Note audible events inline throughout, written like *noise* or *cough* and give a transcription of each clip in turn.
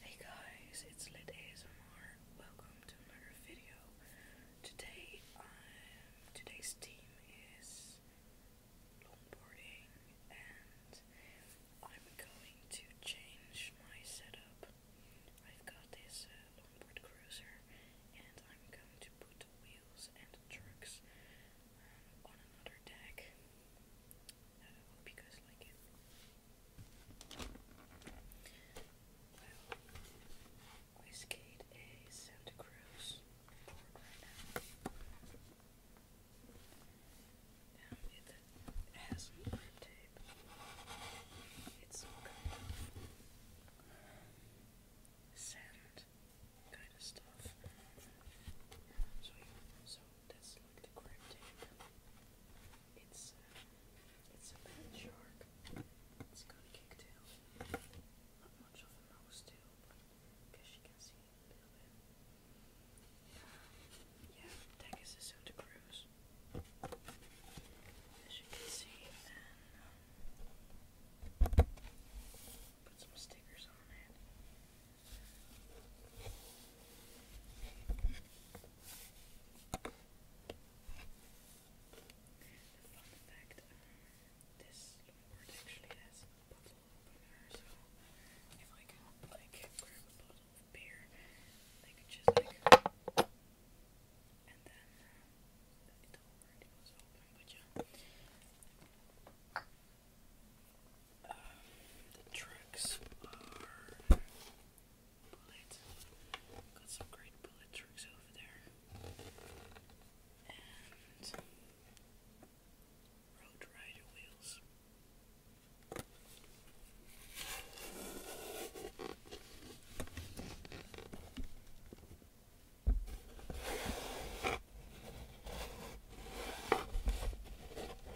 Hey guys, it's Lit ASMR. Welcome to another video. Today, um, today's theme is longboarding, and I'm going to change my setup. I've got this uh, longboard cruiser, and I'm going to put wheels and trucks um, on another deck. I hope you guys like it. Well, we skate a Santa Cruz board right now. it, has some tape. It's some sand kind of stuff. So, so that's like the crab tank. It's uh, it's a bad shark. It's got a kick tail. Not much of a nose tail, but I you can see it a little bit. yeah, Tegas is on cruise. As you can see, and um, put some stickers on it. A fun fact, this board actually has a bottle opener, so if I could like grab a bottle of beer, I could just like and then uh, it already was open, but yeah the tricks are bullet. Got some great bullet tricks over there. And road rider wheels.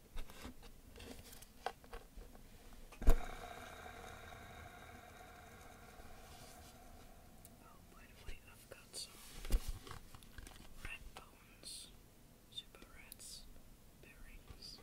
Oh by the way, I've got some red bones, super reds, bearings.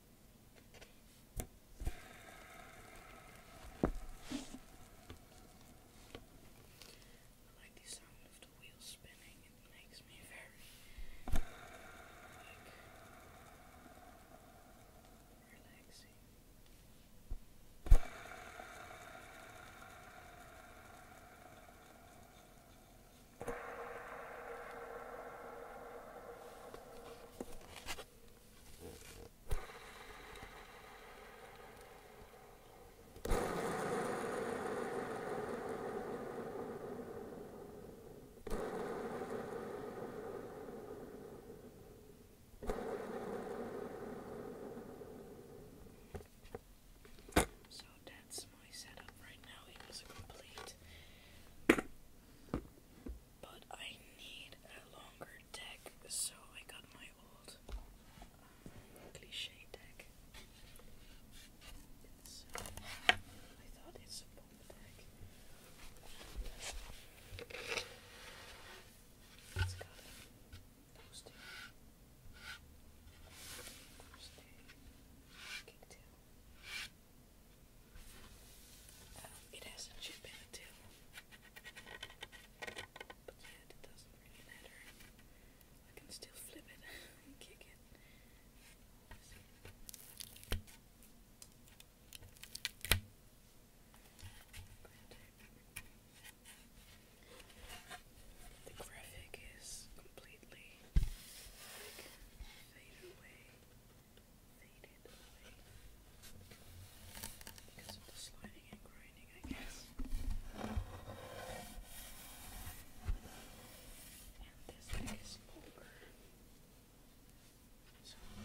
I like the sound of the wheels spinning, it makes me very like relaxing. So that's my setup right now. It was a complete but I need a longer deck, so I got my old cliche deck. It's, I thought it's a bomb deck. It's got a toasty, toasty, kicktail. Um, it has some chip in it too. But yeah, it doesn't really matter. I can still flip it *laughs* and kick it. The graphic is completely fade away faded away because of the sliding and grinding, I guess. And this leg is longer. So I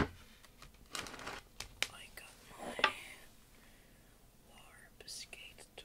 I got my warp skate tool.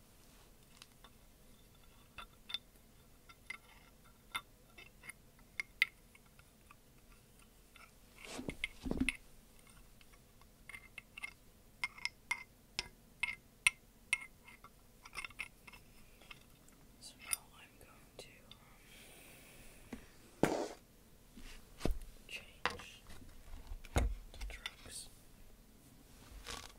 So now I'm going to um, change the drugs.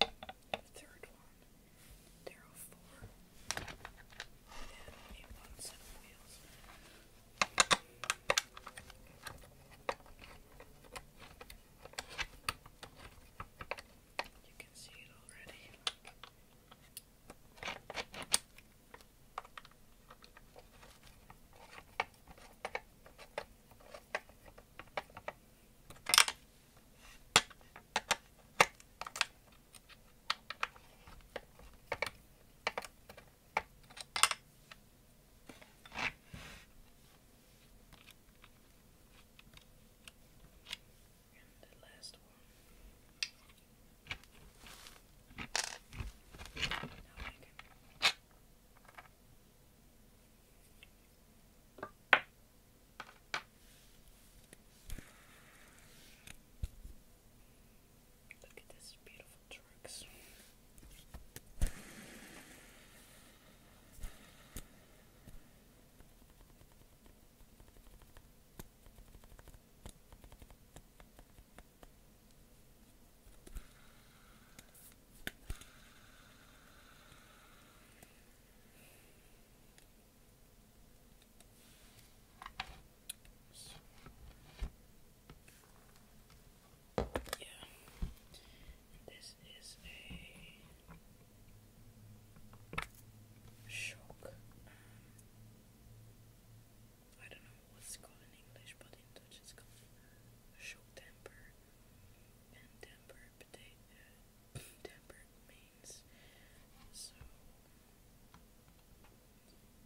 third one. There are four. And a one set of wheels. You can see it already. Look. And the last one. Now I can Look at this beautiful trucks. Yeah. This is a shock. Um, I don't know what's called in English, but in Dutch it's called shock temper. And temper potato tempered means. So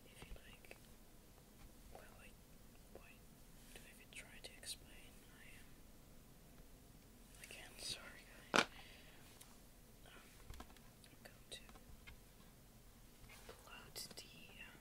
if you like well I do I try to explain I am again sorry guys. I'm um, going to pull out the um,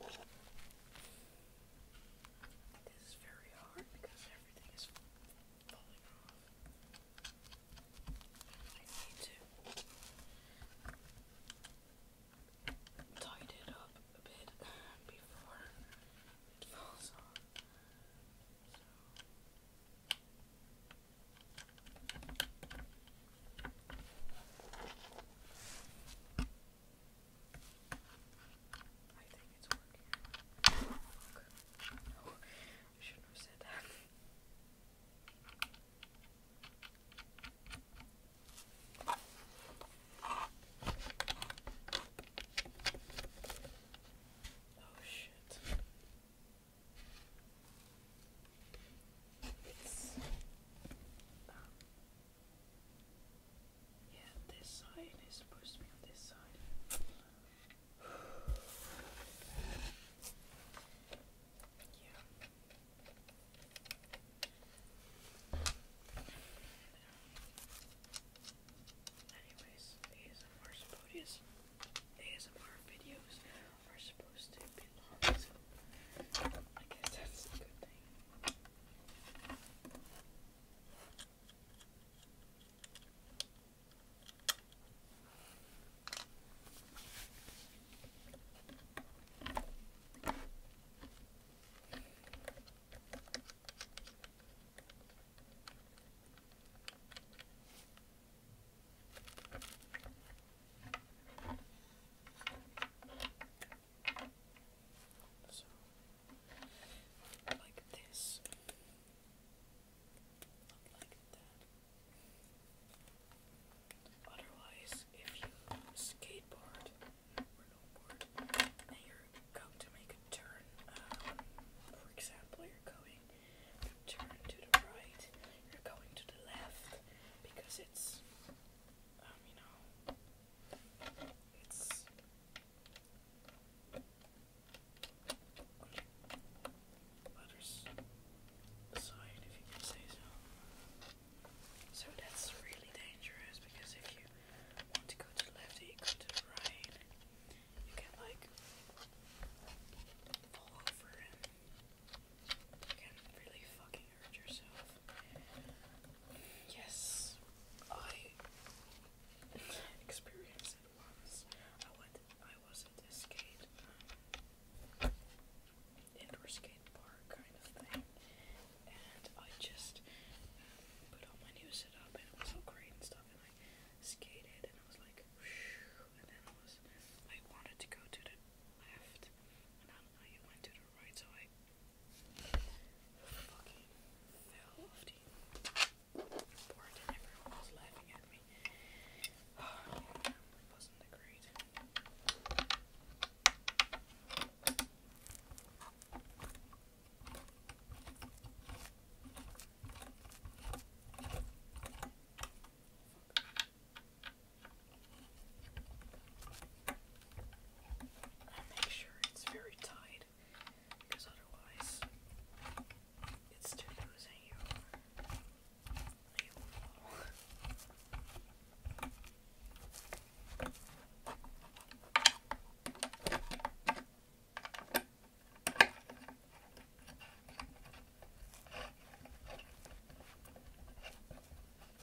This is very hard because everything is falling off. I need to tighten it up a bit before it falls off. I think it's working. Look. I shouldn't have said that. *laughs* Oh shit yeah, this side is supposed to be on this side. yeah. Anyways, ASMR Spotify ASMR videos are supposed to be long, I guess that's a good thing. So, like this, like that. Otherwise, if you skateboard or longboard and you're going to make a turn, um, for example, you're going turn to the right, you're going to the left because it's um, you so. that's really dangerous because if you want to go to left you go to right, you can like fall over and you can really fucking hurt yourself. Yes, I experienced it once. I went. I was at this skate, um, indoor skate park kind of thing, and I just um, put all my new setup, and it was all great and stuff, and I skated, and I was like, and then I was. I wanted to go to the left, and I do you went to the right, so I fucking fell off the board, and everyone was laughing at me. *sighs* it wasn't great. I make sure it's very tight because otherwise it's too loose and you, you fall.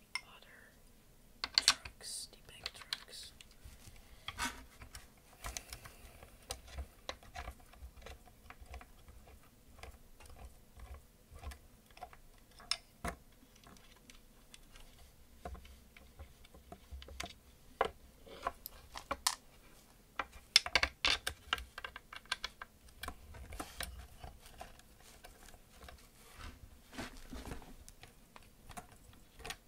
the water trucks, the big trucks.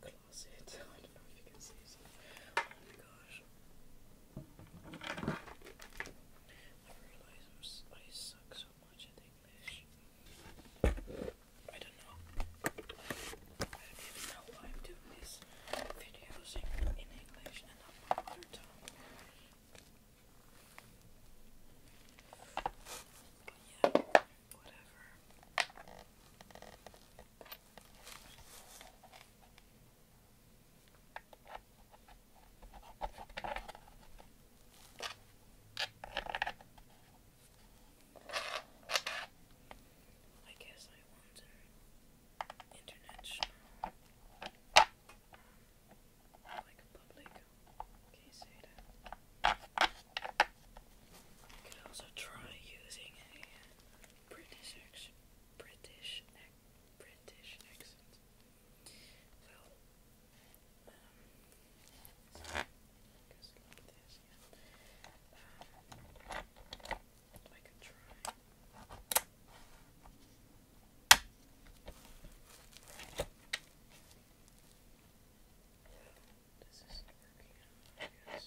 closet. *laughs* I don't know if you can see some. Oh my gosh. I realize i suck so much at English. I don't know. I don't even know why I'm doing these videos in, English and not my mother tongue. yeah, whatever. I guess I want an international, like public case I could also try using a British accent. British ac British accent. Well, um, goes like this. Yeah. I could try. This isn't working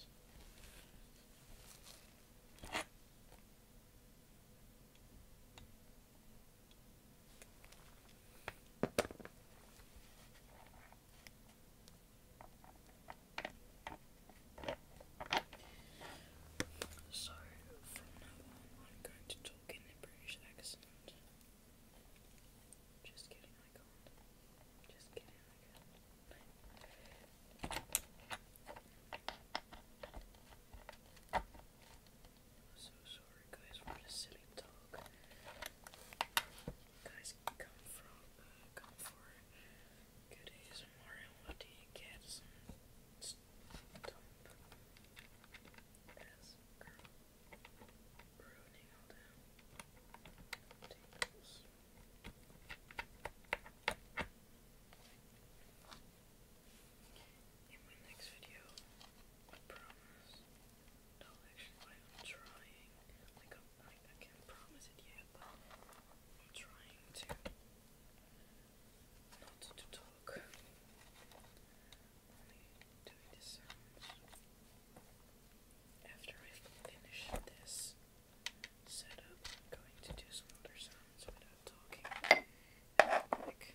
so, from now I'm going to talk in British accent. Just kidding, I can't. Just kidding, I can i so sorry, guys, for the silly talk. You guys come from, uh, come for good ASMR and what do you get? Some as girl all the in my next video, I promise no actually i trying like i can't promise it yet but I'm trying to not to talk only doing the sounds after I finish this setup, I'm going to do some other sounds without talking. Like,